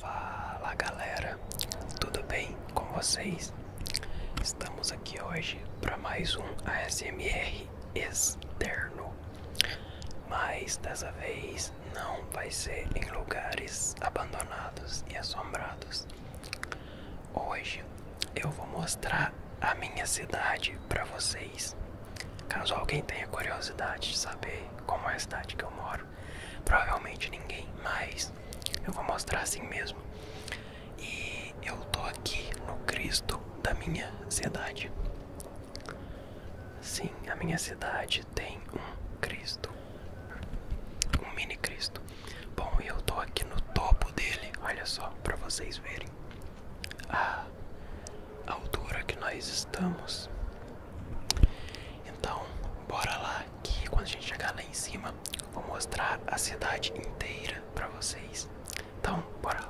Fala galera, tudo bem com vocês? Estamos aqui hoje para mais um ASMR externo, mas dessa vez não vai ser em lugares abandonados e assombrados. Hoje eu vou mostrar a minha cidade para vocês. Caso alguém tenha curiosidade de saber como é a cidade que eu moro, provavelmente ninguém, mas eu vou mostrar assim mesmo. E eu tô aqui no Cristo da minha cidade. Sim, a minha cidade tem um Cristo, um mini Cristo. Bom, e eu tô aqui no topo dele, olha só, para vocês verem a altura que nós estamos. Então, bora lá que quando a gente chegar lá em cima, vou mostrar a cidade inteira para vocês. Então, bora lá.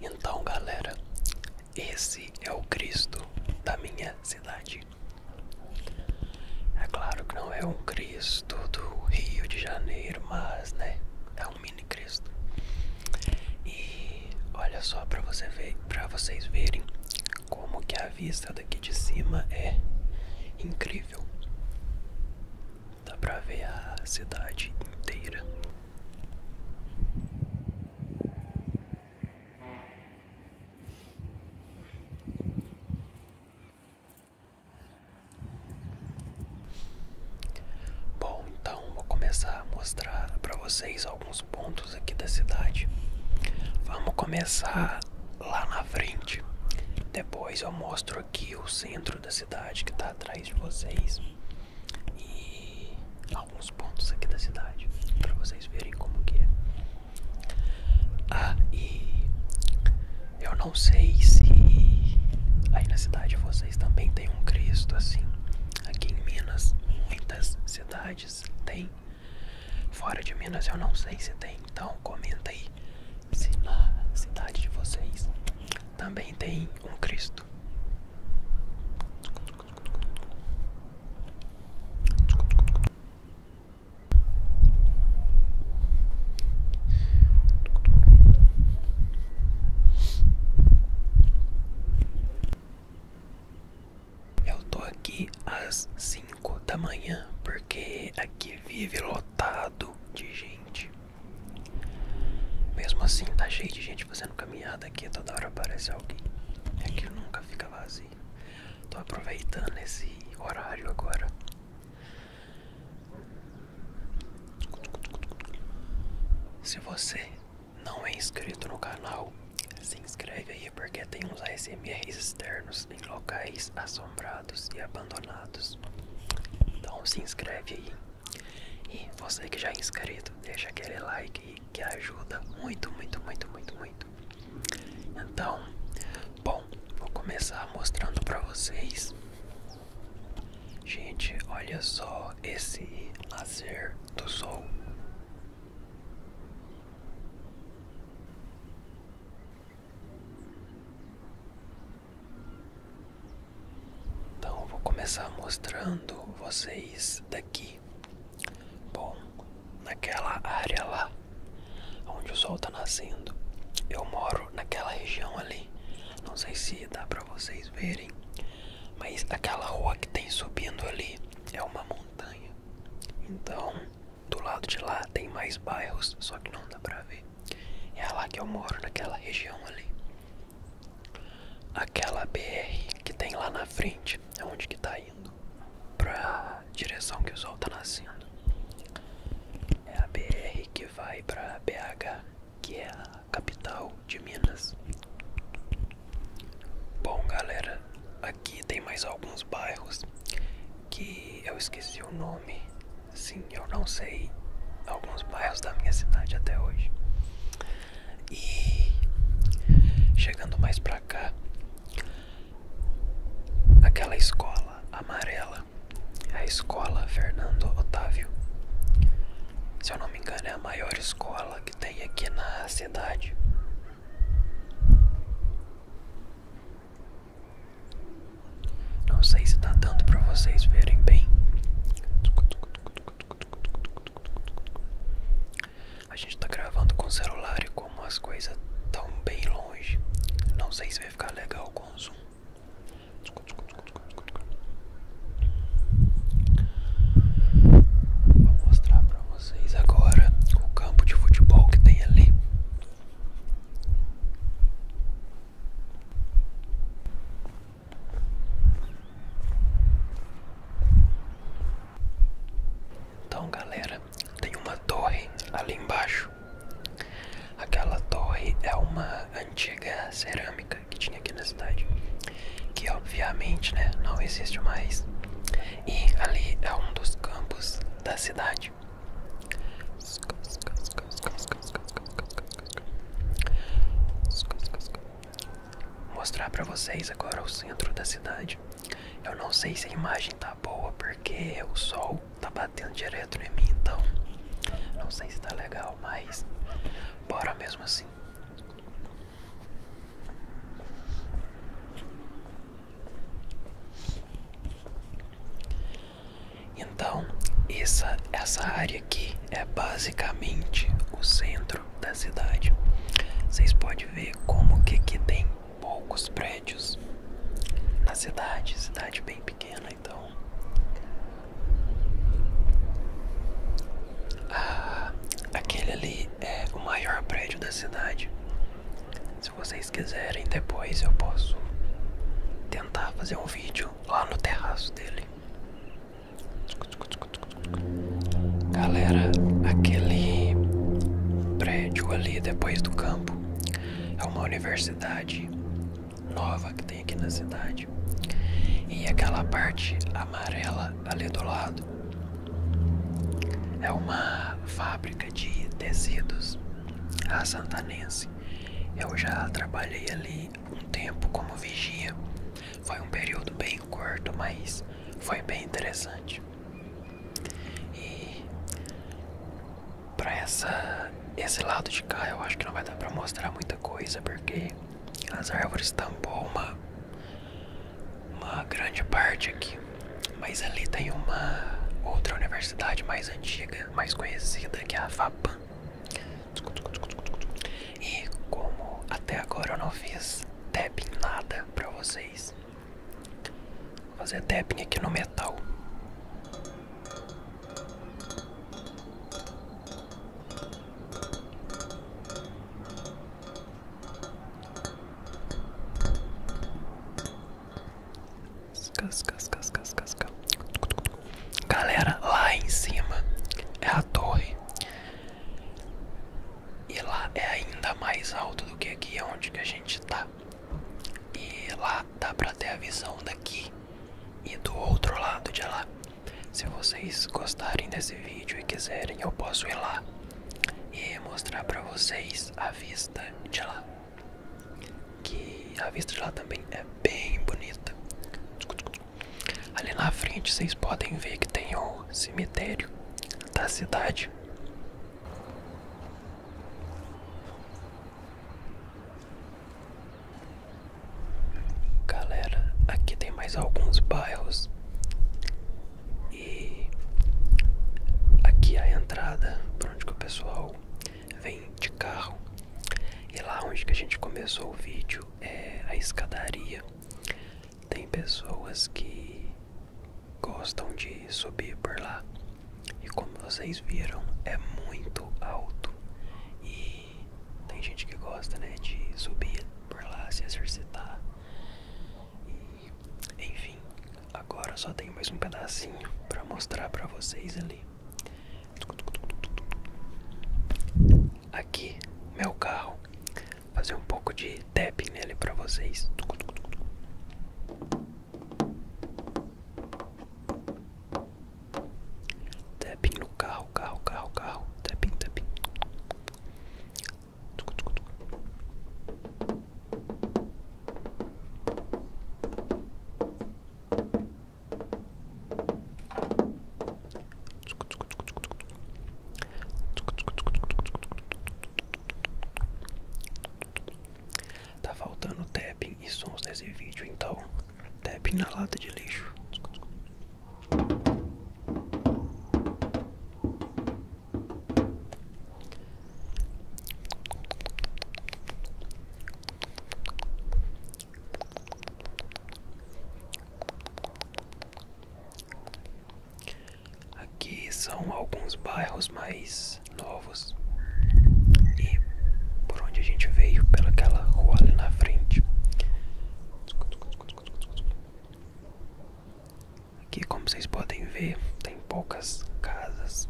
Então, galera, esse é o Cristo da minha cidade. É claro que não é um Cristo do Rio de Janeiro, mas, né, é um mini Cristo. E olha só para você ver, para vocês verem como que a vista daqui de cima é incrível. Dá para ver a cidade inteira. Bom, então então vou começar a mostrar para vocês alguns pontos aqui da cidade. Vamos começar lá na frente. Depois eu mostro aqui o centro da cidade que está atrás de vocês e alguns pontos aqui da cidade para vocês verem como que é. Ah, e eu não sei se aí na cidade vocês também tem um Cristo assim, Aqui em Minas, muitas cidades tem. Fora de Minas eu não sei se tem, então comenta aí se na cidade de vocês também tem um Cristo. Eu tô aqui às 5 da manhã porque aqui vive lotado de gente. Mesmo assim, tá cheio de gente fazendo caminhada aqui, toda hora aparece alguém. Aqui é nunca fica vazio. Tô aproveitando esse horário agora. Se você não é inscrito no canal, se inscreve aí porque tem uns ASMRs externos em locais assombrados e abandonados. Então se inscreve aí. E você que já é inscrito, deixa aquele like que ajuda muito, muito, muito, muito, muito. Então, bom, vou começar mostrando para vocês. Gente, olha só esse lazer do sol. Então vou começar mostrando vocês daqui. Bom, naquela área lá, onde o sol tá nascendo, eu moro naquela região ali. Não sei se dá para vocês verem, mas aquela rua que tem subindo ali é uma montanha. Então, do lado de lá tem mais bairros, só que não dá pra ver. É lá que eu moro, naquela região ali. Aquela BR que tem lá na frente é onde que tá indo. Pra direção que o sol tá nascendo. É a BR que vai pra BH que é a capital de Minas. Bom, galera, aqui tem mais alguns bairros que eu esqueci o nome. Sim, eu não sei alguns bairros da minha cidade até hoje. E chegando mais pra cá, aquela escola amarela, a escola Fernando Otávio. Se eu não me engano, é a maior escola que tem aqui na cidade. Não sei se tá dando para vocês verem bem. A gente está gravando com o celular e como as coisas tão bem longe. Não sei se vai ficar legal com o zoom. Vou mostrar para vocês agora o campo de futebol que tem ali. Então, galera, tem uma torre ali embaixo. Aquela torre é uma antiga cerâmica que tinha aqui na cidade, que obviamente né, não existe mais. E ali é um dos campos da cidade. Vou mostrar para vocês agora o centro da cidade. Eu não sei se a imagem tá boa porque o sol tá batendo direto em mim, então não sei se tá legal, mas bora mesmo assim. Então, essa, essa área aqui é basicamente o centro da cidade. Vocês podem ver como que aqui tem poucos prédios na cidade, cidade bem pequena, então ah, aquele ali é o maior prédio da cidade. Se vocês quiserem, depois eu posso tentar fazer um vídeo lá no terraço dele. Galera, aquele prédio ali depois do campo é uma universidade nova que tem aqui na cidade verde e aquela parte amarela ali do lado é uma fábrica de tecidos a santanense eu já trabalhei ali um tempo como vigia foi um período bem curto mas foi bem interessante e para essa esse lado de cá eu acho que não vai dar para mostrar muita coisa porque as árvores tampou uma, uma grande parte aqui. Mas ali tem uma outra universidade mais antiga, mais conhecida, que é a FAPAM. E como até agora eu não fiz tapping nada pra vocês, vou fazer tapping aqui no metal. Galera, lá em cima é a torre. E lá é ainda mais alto do que aqui é onde que a gente tá. E lá dá pra ter a visão daqui e do outro lado de lá. Se vocês gostarem desse vídeo e quiserem, eu posso ir lá e mostrar para vocês a vista de lá. Que a vista de lá também é bem bonita. Ali na frente vocês podem ver que tem o cemitério da cidade. Galera, aqui tem mais alguns bairros e aqui é a entrada para onde que o pessoal vem de carro. E lá onde que a gente começou o vídeo é a escadaria. Tem pessoas que gostam de subir por lá. E como vocês viram, é muito alto. E tem gente que gosta, né, de subir por lá, se exercitar. enfim, agora só tenho mais um pedacinho para mostrar para vocês ali. Aqui, meu carro. Fazer um pouco de tapping nele para vocês. Tapping no carro, carro, carro, carro. Tapping, tapping. Tucu, tucu, tucu. Tá faltando tapping e sons nesse vídeo, então tapping na lata de lixo. Aqui são alguns bairros mais novos e por onde a gente veio pelaquela rua ali na frente Aqui, como vocês podem ver, tem poucas casas.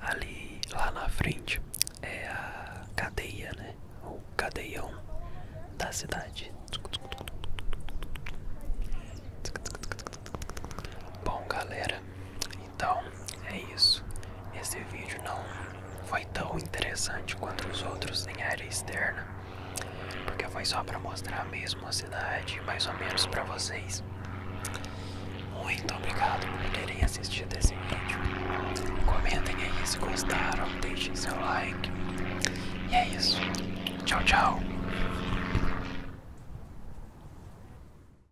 Ali, lá na frente, é a cadeia, né? O cadeião da cidade. Bom, galera, então é isso. Esse vídeo não foi tão interessante quanto os outros em área externa, porque foi só para mostrar mesmo a cidade, mais ou menos para vocês. Muito obrigado por terem assistido esse vídeo. Comentem aí se gostaram, deixem seu like. E é isso. Tchau, tchau.